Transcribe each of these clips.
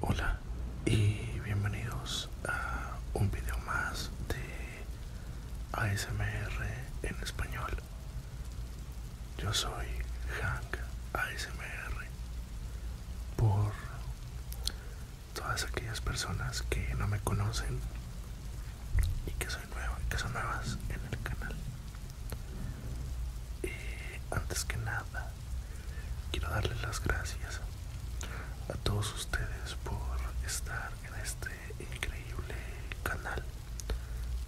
Hola y bienvenidos a un video más de ASMR en español. Yo soy Hank ASMR. Por todas aquellas personas que no me conocen y que, soy nuevo que son nuevas en el canal. antes que nada, quiero darles las gracias a todos ustedes por estar en este increíble canal.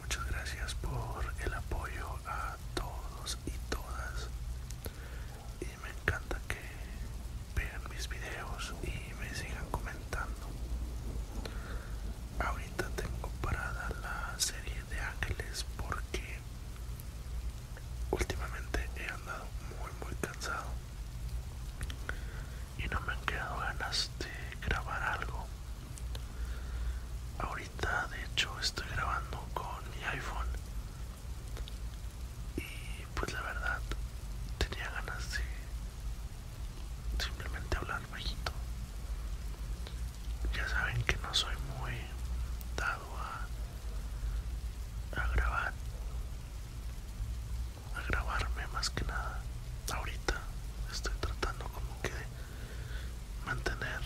Muchas gracias por el apoyo a todos y todas y me encanta que vean mis videos y me sigan comentando ahorita tengo parada la serie de ángeles porque últimamente he andado muy muy cansado y no me han quedado ganas de grabar algo ahorita de hecho estoy grabando con mi iphone y pues la verdad tenía ganas de simplemente hablar bajito ya saben que no soy muy dado a, a grabar a grabarme más que nada ahorita estoy tratando como que de mantener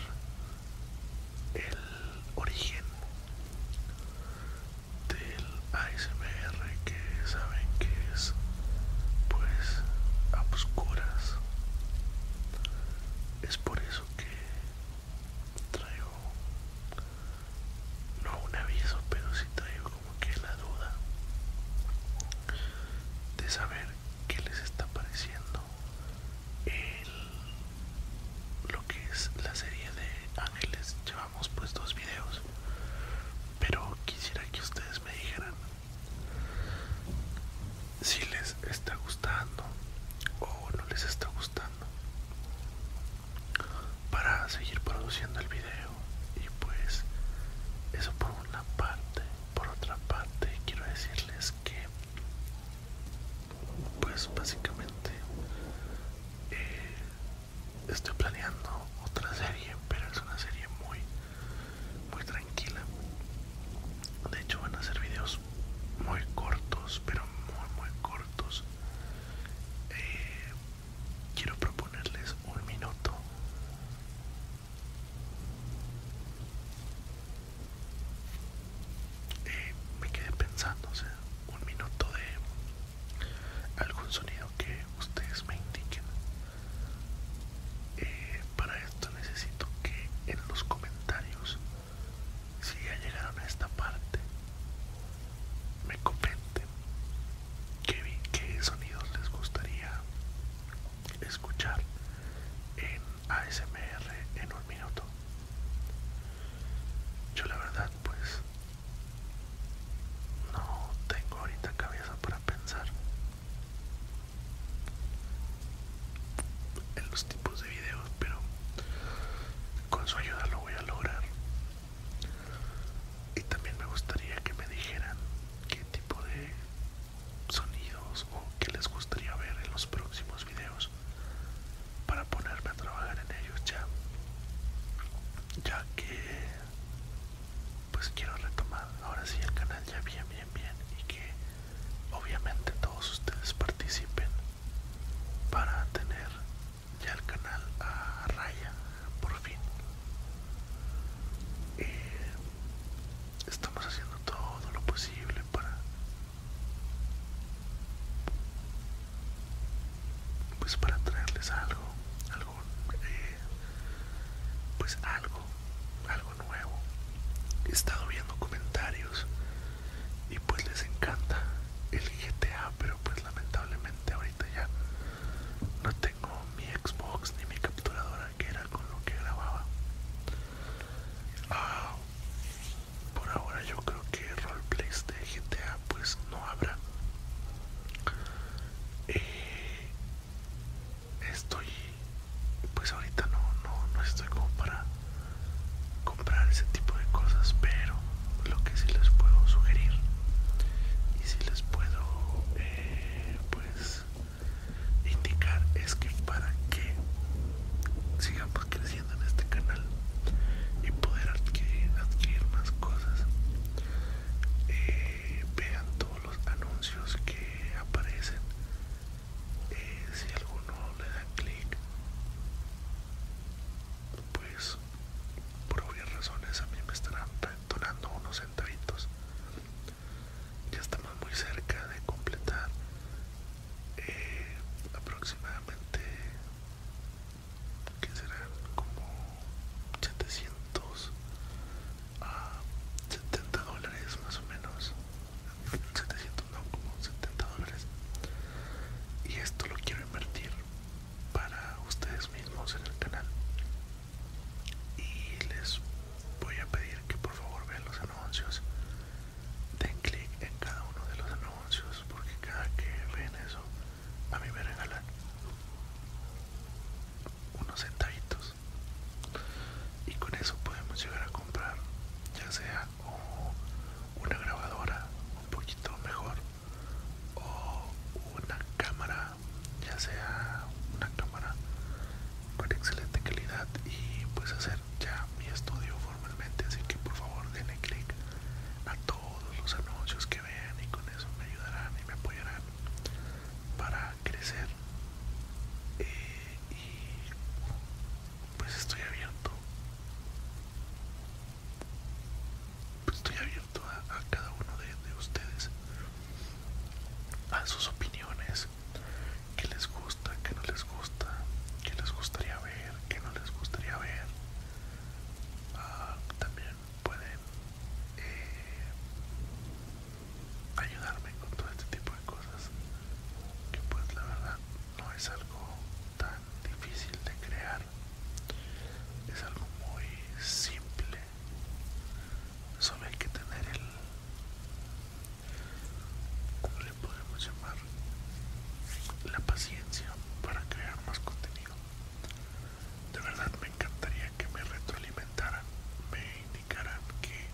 el origen del ASMR que saben que es pues a oscuras es por eso que traigo no un aviso pero si traigo como que la duda de saber qué les está pareciendo lo que es la serie de ángeles llevamos pues dos videos pero quisiera que ustedes me dijeran si les está gustando o no les está gustando para seguir produciendo el video y pues eso por una parte por otra parte quiero decirles que pues básicamente eh, estoy planeando otra serie pero es una serie muy muy tranquila de hecho van a ser videos muy cortos pero muy muy cortos eh, quiero proponerles un minuto eh, me quedé pensando sea, un minuto de algún sonido que ustedes me indiquen eh, para esto necesito que en los comentarios si ya llegaron a esta parte me comenten qué sonidos les gustaría escuchar en ASMR en un minuto. Yo la verdad pues no tengo ahorita cabeza para pensar en los tipos de videos, pero con su ayuda lo voy a lograr. Y también me gustaría que me dijeran qué tipo de sonidos o que les gustaría ver en los próximos videos para ponerme a trabajar en ellos ya ya que pues quiero retomar ahora sí el canal ya bien bien bien y que obviamente todos ustedes participen para tener ya el canal a raya por fin eh, Estamos haciendo todo lo posible para pues para traerles algo, algo eh, pues algo, algo nuevo. He estado viendo comentarios y pues les encanta el GTA, pero pues lamentablemente ahorita ya no con mi Xbox ni mi capturadora que era con lo que grababa. Ah, por ahora yo creo que roleplays de GTA pues no habrá. Eh, estoy pues ahorita no, no, no estoy como para comprar ese tipo de cosas, pero lo que sí les puedo sugerir y si les puedo eh, pues indicar es que para que sigamos creciendo en este canal y poder adquirir, más cosas eh, vean todos los anuncios que aparecen eh, si alguno le da clic pues por obvias razones a mí me estarán donando unos centavitos. Ya estamos muy cerca de completar eh, aproximadamente, que serán como 700 a 70 dólares más o menos. 700 no, como 70 dólares. Y esto lo quiero invertir para ustedes mismos en el canal y les voy a pedir que por favor vean los anuncios den clic en cada uno de los anuncios porque cada que ven eso a mí me regalan unos centavitos y con eso podemos llegar a comprar ya sea una grabadora un poquito mejor o una cámara ya sea una cámara con excelente calidad y pues hacer ya mi estudio formalmente así que por favor denle click a todos los anuncios que vean y con eso me ayudarán y me apoyarán para crecer eh, y pues estoy abierto pues, estoy abierto a, cada uno de, ustedes, a sus opiniones, que les gusta, que no les gusta, que les gustaría ver, que no les gustaría ver. Ah, también pueden eh, ayudarme con todo este tipo de cosas que pues la verdad no es algo tan difícil de crear es algo muy simple solo hay que tener el ¿cómo le podemos llamar? la paciencia para crear más contenido de verdad me encantaría que me retroalimentaran me indicaran que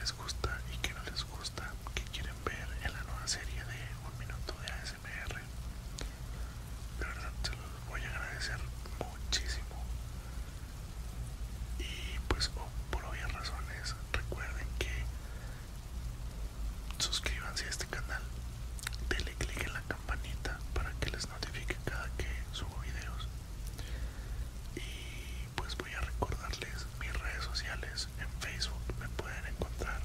les gusta y que no les gusta que quieren ver en la nueva serie de Un Minuto de ASMR. De verdad se los voy a agradecer muchísimo. Y pues por obvias razones recuerden que suscríbanse a este canal, denle clic en la campanita para que les notifique cada que subo videos. Y pues voy a recordarles mis redes sociales. En Facebook me pueden encontrar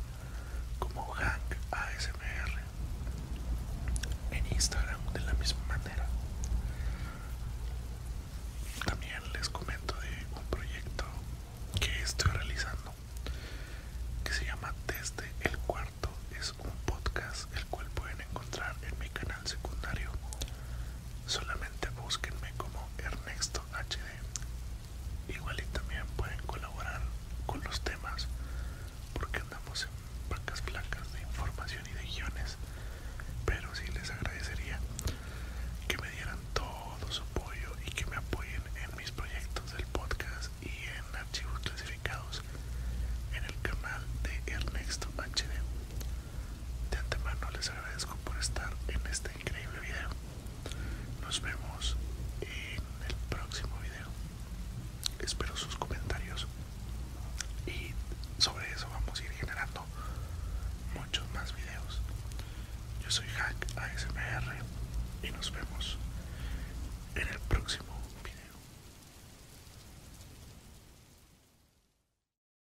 como Hank ASMR. En Instagram de la misma manera. También les comento de un proyecto que estoy realizando que se llama Desde el Cuarto. Es un podcast el cual pueden encontrar en mi canal secundario. Solamente búsquenme como Ernesto HD igual y también pueden colaborar con los temas porque andamos en vacas blancas de información y de guiones pero sí les agradecería que me dieran todo su apoyo y que me apoyen en mis proyectos del podcast y en archivos clasificados en el canal de Ernesto HD de antemano les agradezco por estar en este increíble video. Nos vemos en el próximo video. Espero sus comentarios y sobre eso vamos a ir generando muchos más videos. Yo soy Hack ASMR y nos vemos en el próximo video.